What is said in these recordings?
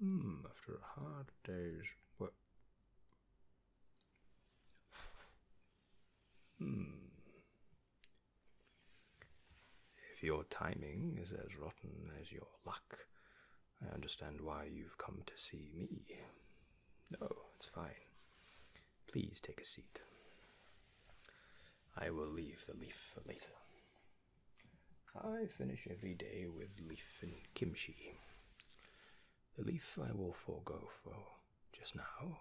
Hmm, after a hard day's work. Hmm. If your timing is as rotten as your luck, I understand why you've come to see me. No, it's fine. Please take a seat. I will leave the leaf for later. I finish every day with leaf and kimchi. The leaf I will forego for just now.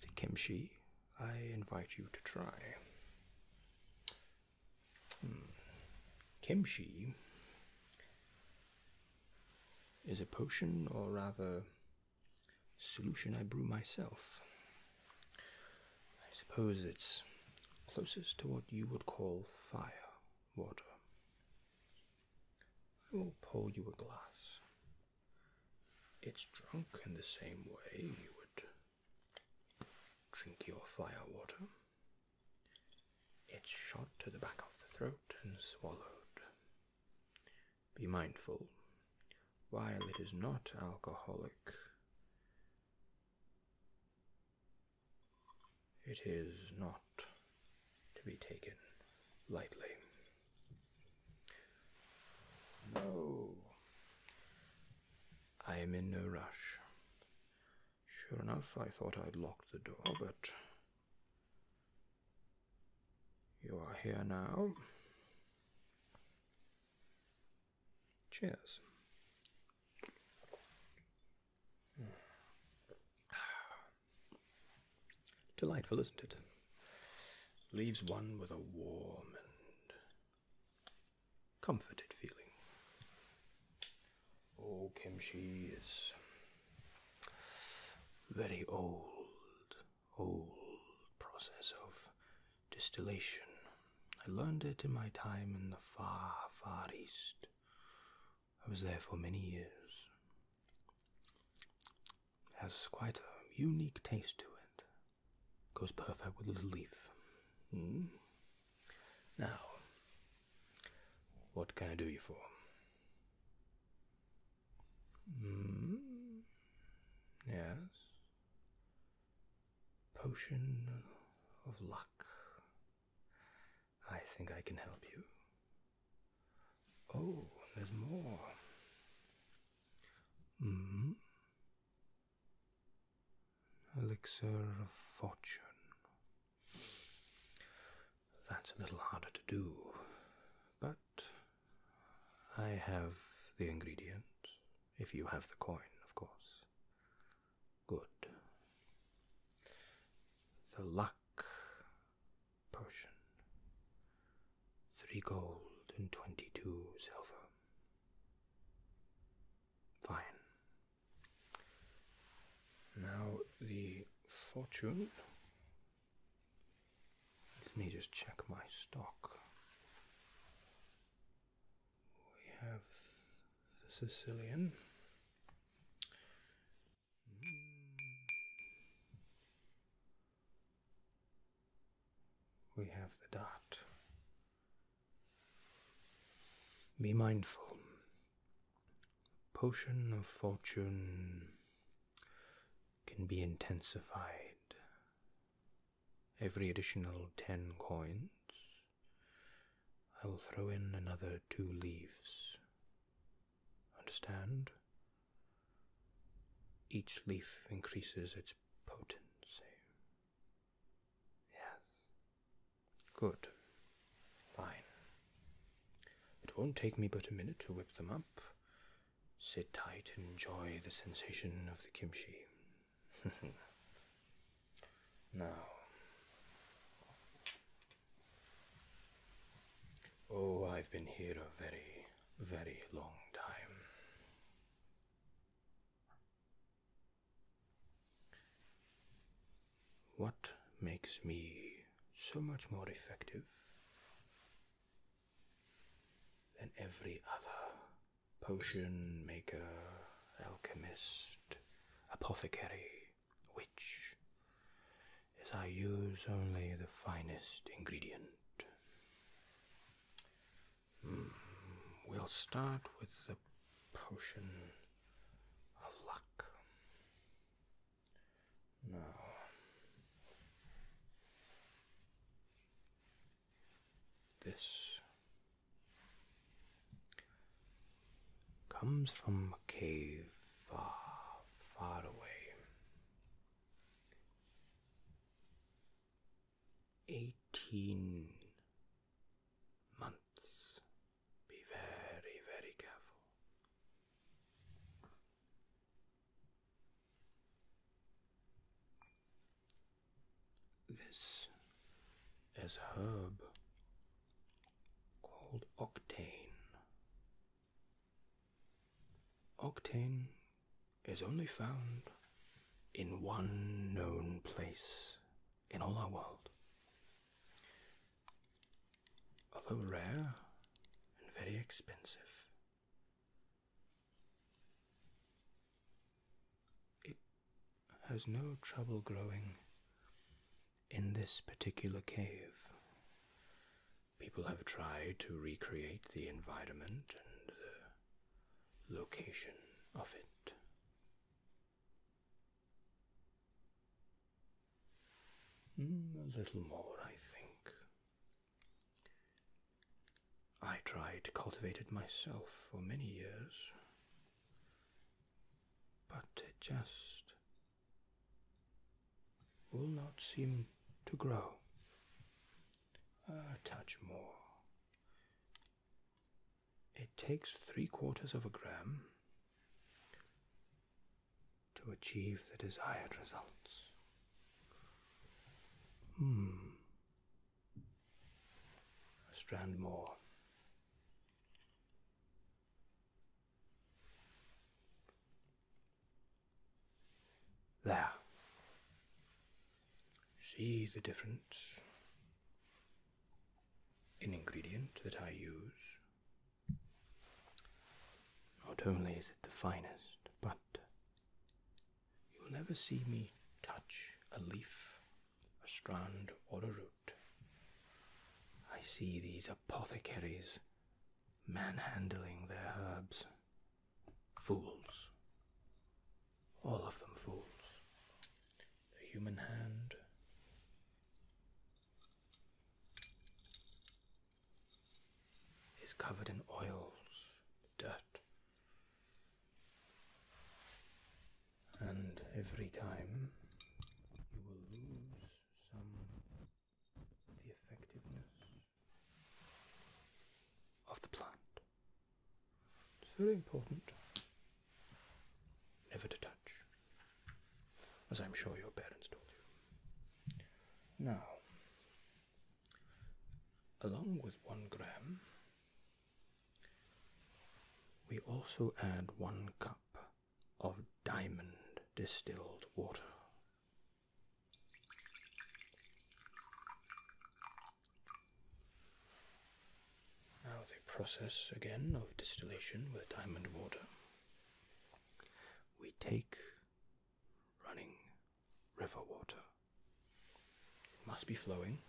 The kimchi I invite you to try. Hmm. Kimchi is a potion, or rather, solution I brew myself. I suppose it's closest to what you would call fire water. I will pour you a glass. It's drunk in the same way you would drink your fire water. It's shot to the back of the throat and swallowed. Be mindful, while it is not alcoholic, it is not to be taken lightly. No, I am in no rush. Sure enough, I thought I'd locked the door, but you are here now. Cheers. Delightful, isn't it? Leaves one with a warm and comforted feeling. Oh, kimchi is very old, old process of distillation. I learned it in my time in the far, far east. I was there for many years. Has quite a unique taste to it. Goes perfect with a little leaf. Hmm. Now, what can I do you for? Mm. Yes. Potion of luck. I think I can help you. Oh, there's more. Hmm. Elixir of fortune. That's a little harder to do, but I have the ingredients, if you have the coin, of course. Good. The luck potion. Three gold and twenty two silver. Fine. Now the fortune. Let me just check my stock we have the Sicilian. We have the dot. Be mindful. Potion of fortune can be intensified every additional 10 coins I will throw in another two leaves. Understand? Each leaf increases its potency. Yes. Good. Fine. It won't take me but a minute to whip them up. Sit tight and enjoy the sensation of the kimchi. Now, oh, I've been here a very, very long time. What makes me so much more effective than every other potion maker, alchemist, apothecary, which, as I use only the finest ingredient. Hmm, we'll start with the potion of luck. Now, this comes from a cave far, far away. Eighteen months. Be very, very careful. This is herb called octane. Octane is only found in one known place in all our world. Although rare and very expensive, it has no trouble growing in this particular cave. People have tried to recreate the environment and the location of it. Mm, a little more, I think. I tried to cultivate it myself for many years, but it just will not seem to grow. A touch more. It takes three quarters of a gram to achieve the desired results. Hmm. A strand more. There. See the difference in ingredient that I use. Not only is it the finest, but you will never see me touch a leaf a strand, or a root. I see these apothecaries manhandling their herbs. Fools. All of them fools. The human hand. Is covered in oils, dirt, and every time you will lose some of the effectiveness of the plant. It's very important never to touch, as I'm sure your parents told you. Now, along with one gram we also add one cup of diamond distilled water. Now, the process again of distillation with diamond water. We take running river water, it must be flowing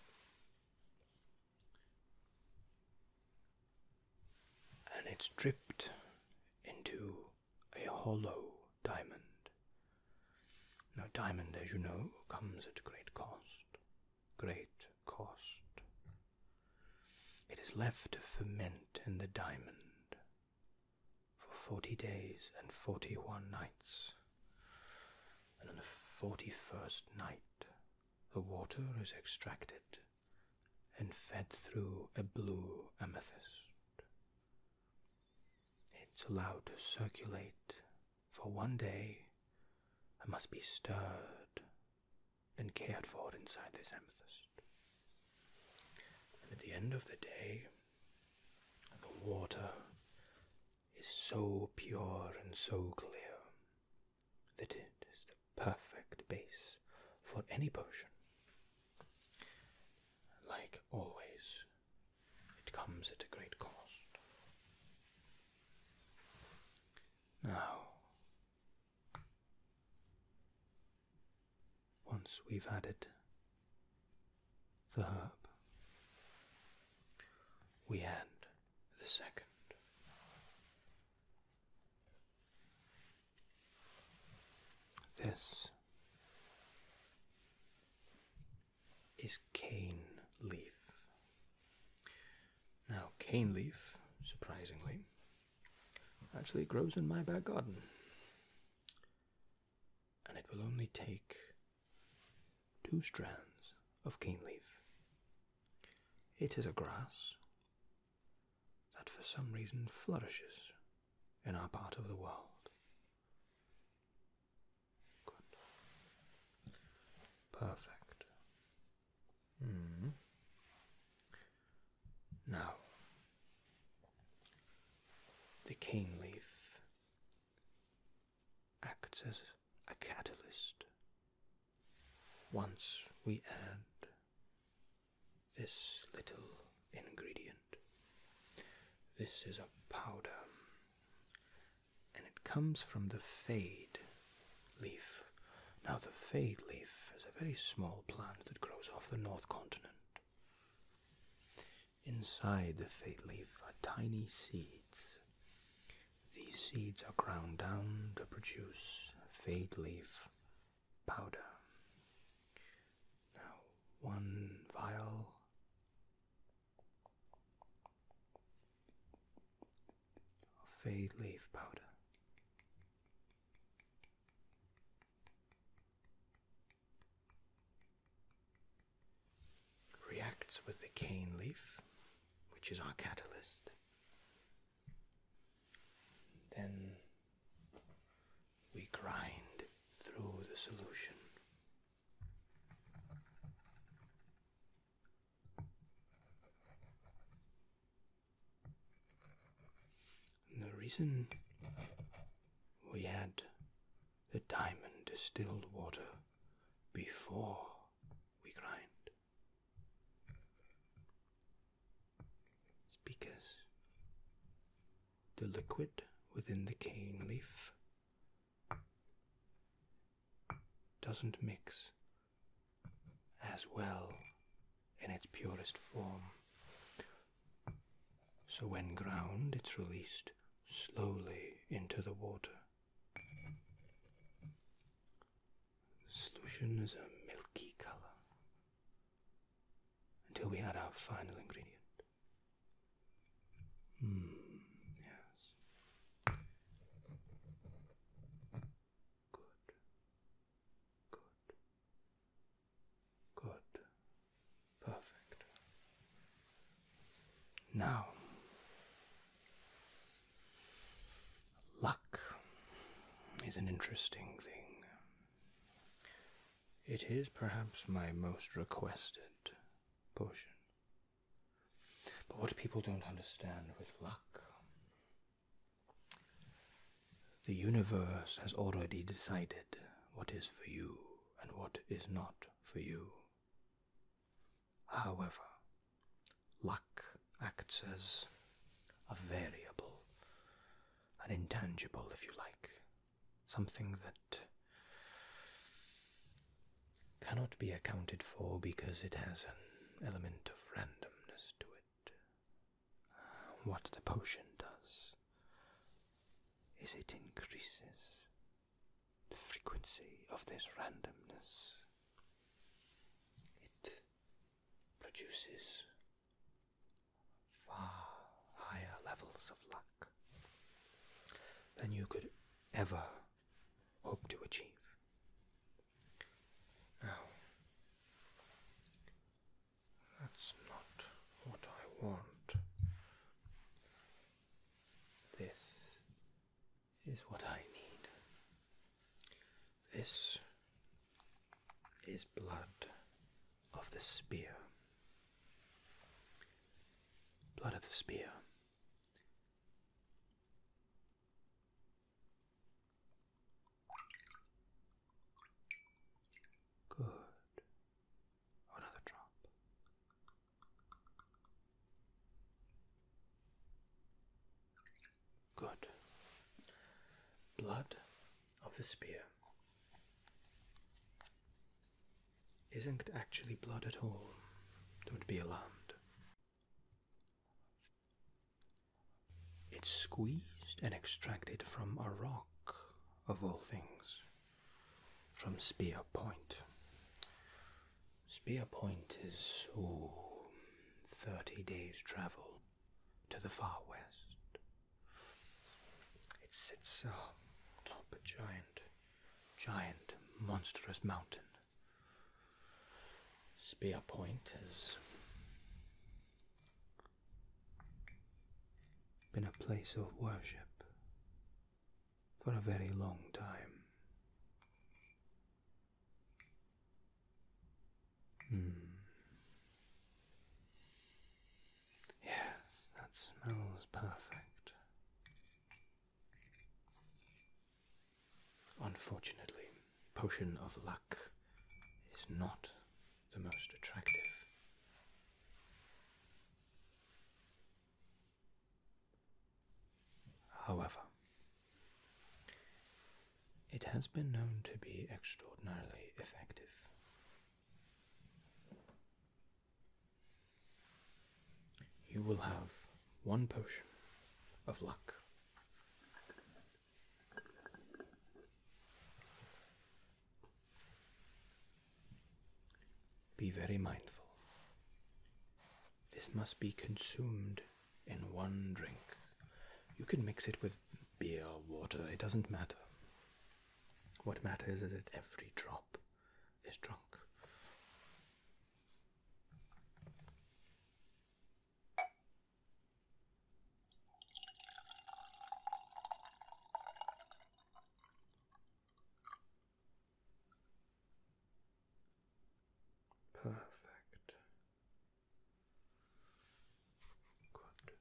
and it's dripped into a hollow diamond. Now, diamond, as you know, comes at great cost. Great cost. It is left to ferment in the diamond for forty days and forty one nights. And on the forty first night, the water is extracted and fed through a blue amethyst. It's allowed to circulate for one day and must be stirred and cared for inside this amethyst. And at the end of the day, the water is so pure and so clear that it is perfect base for any potion. Like always, it comes at a great cost. Now, once we've added the herb, we add the second this is cane leaf. Now, cane leaf, surprisingly, actually grows in my back garden. And it will only take two strands of cane leaf. It is a grass that for some reason flourishes in our part of the world. Good. Perfect. Hmm. Now, the cane leaf acts as a catalyst. Once we add this little ingredient, this is a powder, and it comes from the fade leaf. Now, the fade leaf is a very small plant that grows off the north continent. Inside the fade leaf are tiny seeds. These seeds are ground down to produce fade leaf powder. Now, one vial of fade leaf powder. Reacts with the cane leaf, which is our catalyst, then we grind through the solution. the reason we had the diamond distilled water before we grind it's because the liquid within the cane leaf doesn't mix as well in its purest form. So when ground, it's released slowly into the water. The solution is a milky color until we add our final ingredient. Hmm, yes. Good. Good. Good. Perfect. Now, Luck is an interesting thing. It is perhaps my most requested potion. But what people don't understand with luck, the universe has already decided what is for you and what is not for you. However, Luck acts as a variable, an intangible, if you like, something that cannot be accounted for because it has an element of randomness to it. What the potion does is it increases the frequency of this randomness. It produces far higher levels of luck than you could ever hope to achieve. Now, that's not what I want. This is what I need. This is blood of the spear. Blood of the spear. Good. Another drop. Good. Blood of the spear isn't actually blood at all. Don't be alarmed. It's squeezed and extracted from a rock, of all things, from Spear Point. Spear Point is, oh, thirty days' travel to the far west. It sits uh, atop a giant, giant, monstrous mountain. Spear Point has been a place of worship for a very long time. Mm. that smells perfect. Unfortunately, Potion of Luck is not the most attractive. However, it has been known to be extraordinarily effective. You will have one potion of luck. Be very mindful. This must be consumed in one drink. You can mix it with beer, water, it doesn't matter. What matters is that every drop is drunk. Perfect. Good.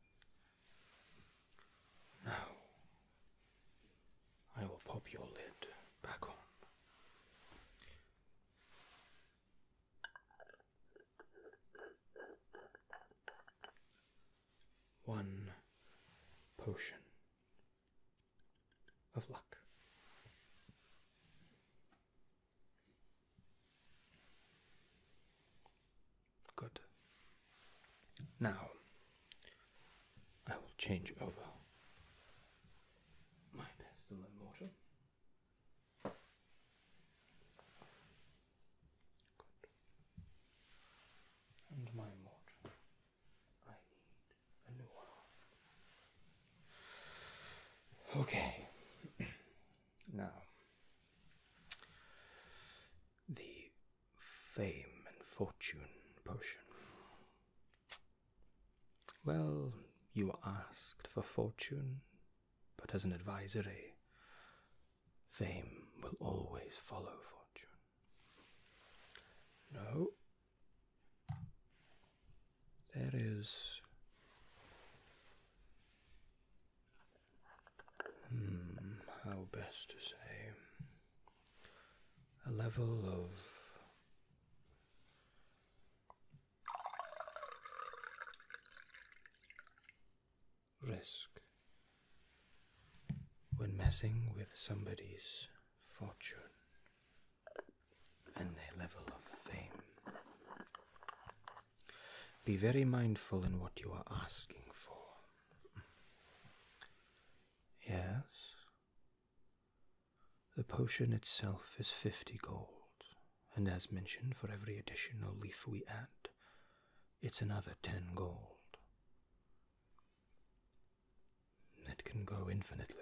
Now, I will pop your lid back on. One potion of luck. Good. Now, I will change over my pestle and mortar. And my mortar. I need a new one. Okay. now, the fame and fortune potion. Well, you asked for fortune, but as an advisory, fame will always follow fortune. No. That is. Hmm, how best to say. A level of. Risk when messing with somebody's fortune and their level of fame. Be very mindful in what you are asking for. Yes? The potion itself is 50 gold, and as mentioned, for every additional leaf we add, it's another 10 gold. That can go infinitely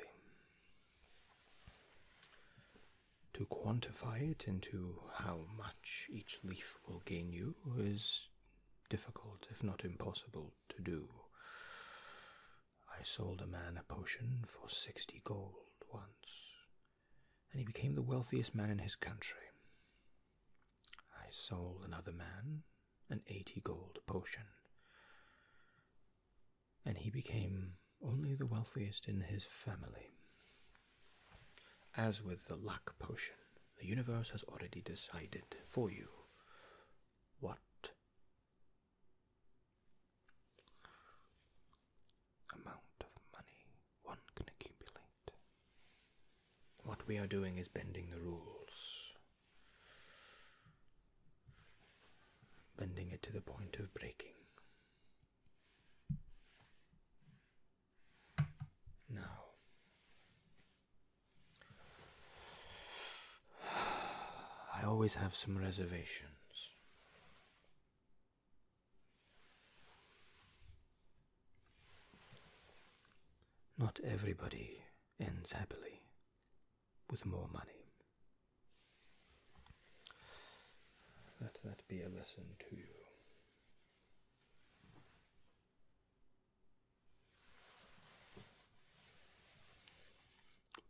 to quantify it into how much each leaf will gain you is difficult, if not impossible, to do. I sold a man a potion for sixty gold once, and he became the wealthiest man in his country. I sold another man an eighty gold potion and he became only the wealthiest in his family. As with the luck potion, the universe has already decided for you what amount of money one can accumulate. What we are doing is bending the rules, bending it to the point of breaking. Now, I always have some reservations. Not everybody ends happily with more money. Let that be a lesson to you.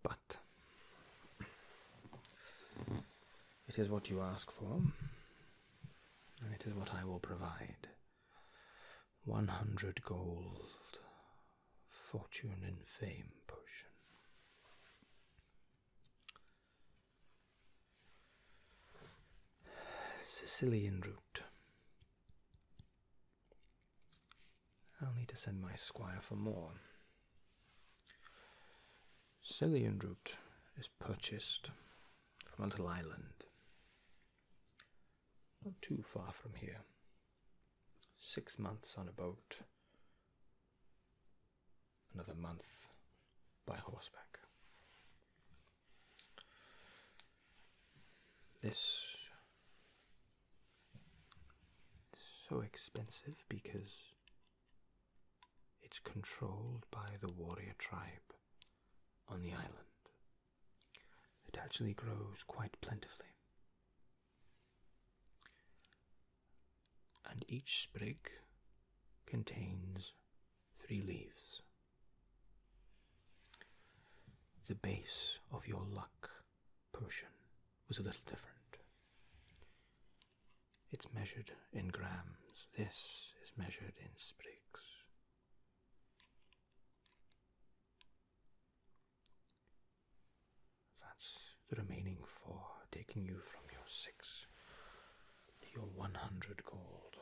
But it is what you ask for, and it is what I will provide. 100 gold fortune and fame potion Sicilian root. I'll need to send my squire for more. Sicilian root is purchased from a little island not too far from here. Six months on a boat, another month by horseback. This is so expensive because it's controlled by the warrior tribe on the island. It actually grows quite plentifully and each sprig contains three leaves. The base of your luck potion was a little different. It's measured in grams, this is measured in sprigs. That's the remaining four, taking you from your six to your 100 gold.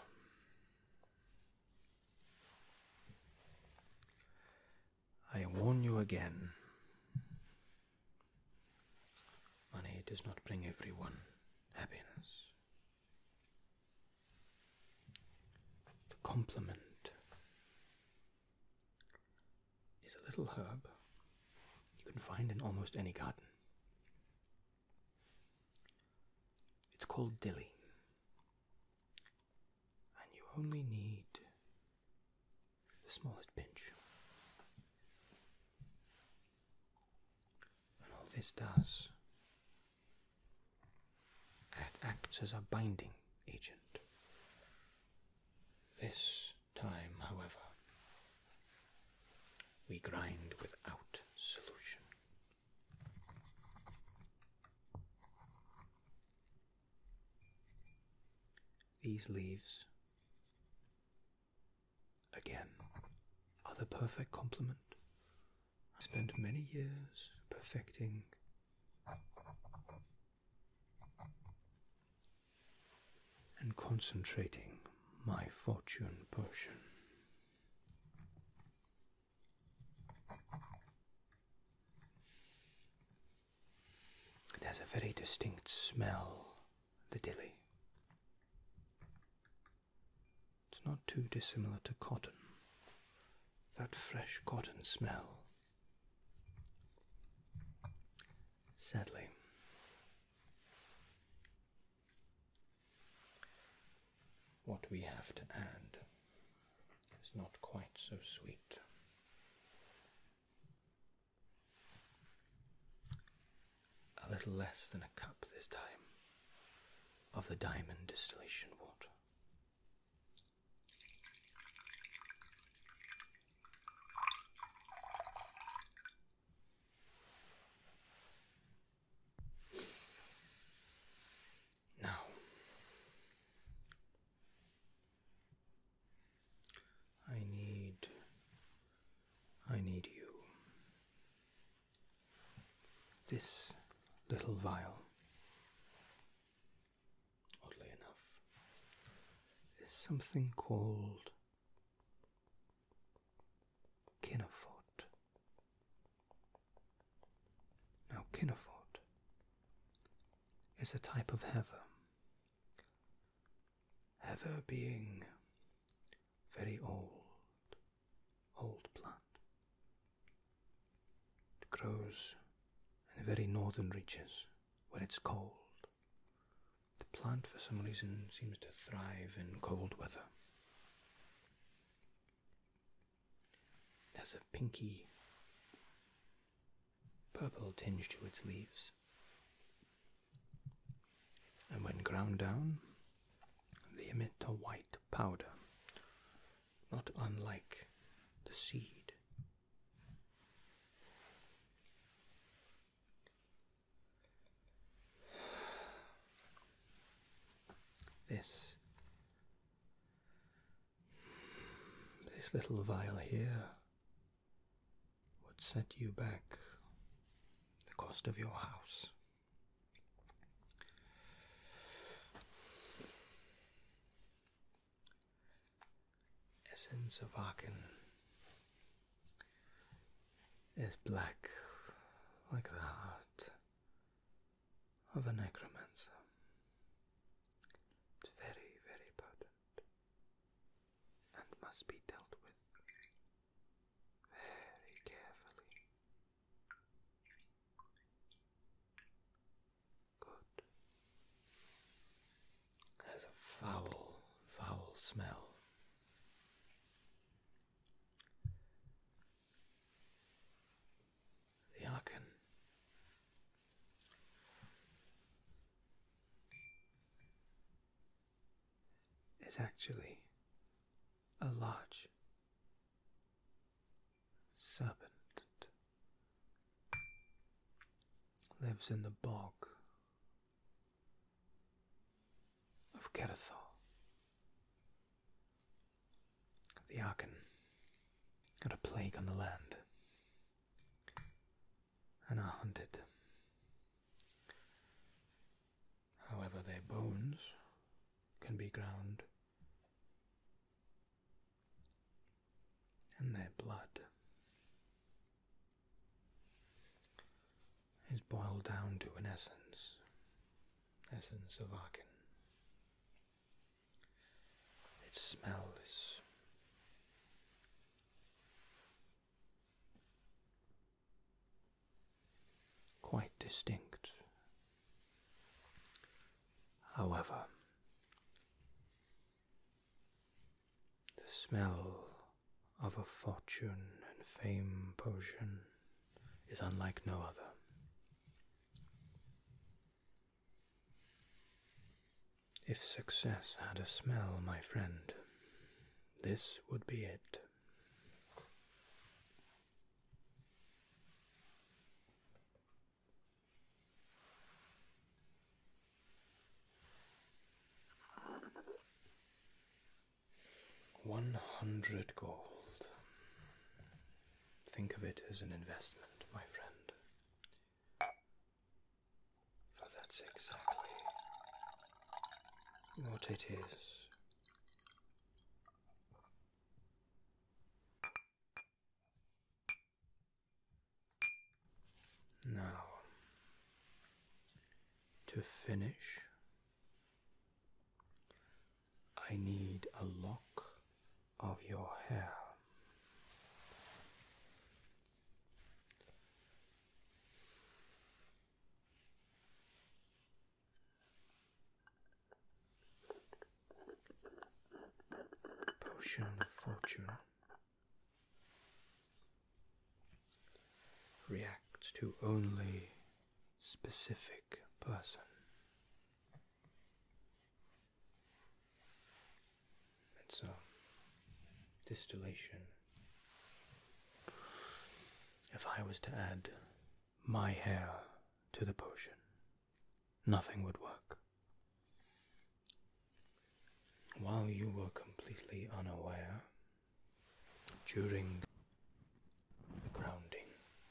I warn you again. Money does not bring everyone happiness. The compliment is a little herb you can find in almost any garden. It's called dilly, and you only need the smallest pinch. And all this does, it acts as a binding agent. This time, however, we grind without solution. These leaves, again, are the perfect complement. I spent many years perfecting and concentrating my fortune potion. It has a very distinct smell, the dilly. It's not too dissimilar to cotton, that fresh cotton smell. Sadly, what we have to add is not quite so sweet. A little less than a cup this time of the diamond distillation water. Now, I need, I need you. This little vial, oddly enough, is something called Kinnefort. Now, Kinnefort is a type of heather. Heather being very old, old plant. It grows in the very northern reaches where it's cold the plant, for some reason, seems to thrive in cold weather. It has a pinky purple tinge to its leaves. And when ground down, they emit a white powder, not unlike the seed. This. This little vial here would set you back the cost of your house. Essence of Arkin is black like the heart of a necromancer. It's very, very potent and must be dealt with very carefully. Good has a foul, foul smell. The Arkan. Is actually a large serpent that lives in the bog of Kerethal. The Arkan got a plague on the land and are hunted. However, their bones can be ground and their blood is boiled down to an essence, essence of Aachen. It smells quite distinct. However, the smell of a fortune and fame potion is unlike no other. If success had a smell, my friend, this would be it. 100 gold. Think of it as an investment, my friend. For that's exactly what it is. Now, to finish, I need a lock of your hair. Potion of Fortune reacts to only specific person. It's a distillation. If I was to add my hair to the potion, nothing would work. While you were completely unaware during the grounding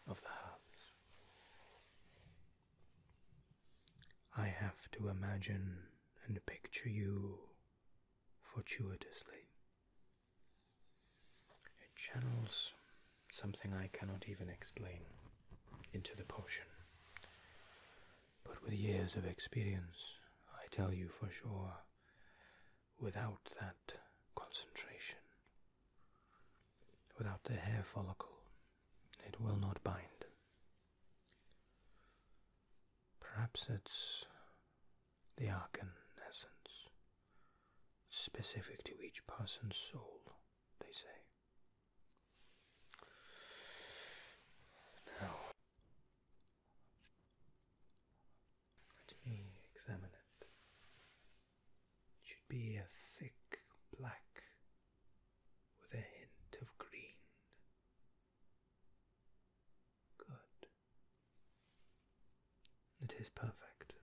of the herbs. I have to imagine and picture you fortuitously. It channels something I cannot even explain into the potion. But with years of experience, I tell you for sure without that concentration, without the hair follicle, it will not bind. Perhaps it's the arcan essence, specific to each person's soul, they say. Now, let me examine it. It should be a thick black with a hint of green. Good. It is perfect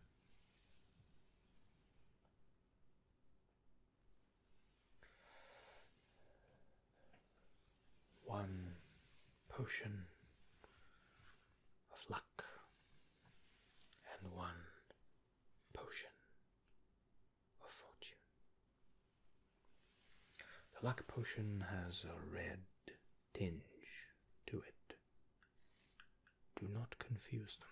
one potion of luck and one potion of fortune. The luck potion has a red tinge to it. Do not confuse them.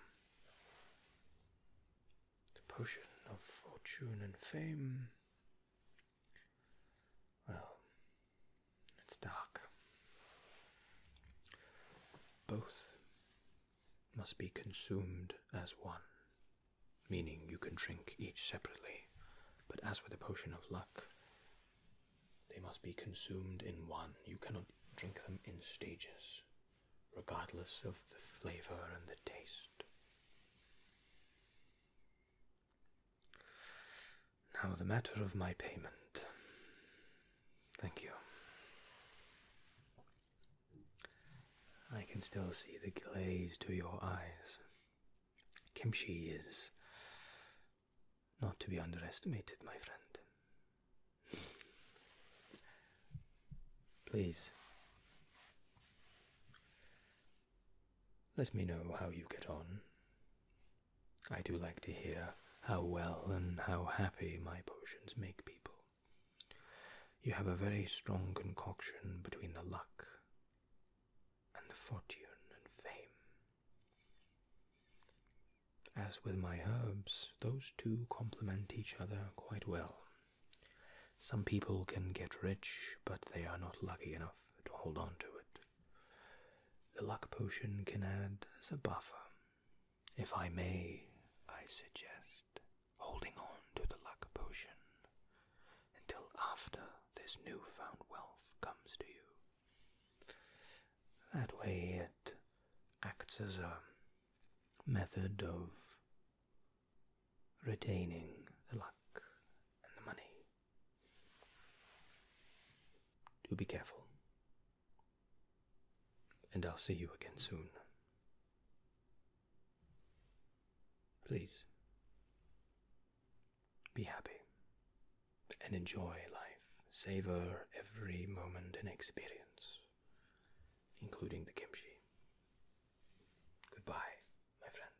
The potion of fortune and fame well, it's dark. Both must be consumed as one, meaning you can drink each separately, but as with a potion of luck, they must be consumed in one. You cannot drink them in stages, regardless of the flavor and the taste. Now, the matter of my payment. Thank you. I can still see the glaze to your eyes. Kimchi is not to be underestimated, my friend. Please let me know how you get on. I do like to hear how well and how happy my potions make people. You have a very strong concoction between the luck and the fortune and fame. As with my herbs, those two complement each other quite well. Some people can get rich, but they are not lucky enough to hold on to it. The luck potion can add as a buffer. If I may, I suggest holding on to the luck potion until after this newfound wealth comes to you. That way, it acts as a method of retaining the luck and the money. Do be careful. And I'll see you again soon. Please be happy and enjoy life. Savor every moment and experience, including the kimchi. Goodbye, my friend.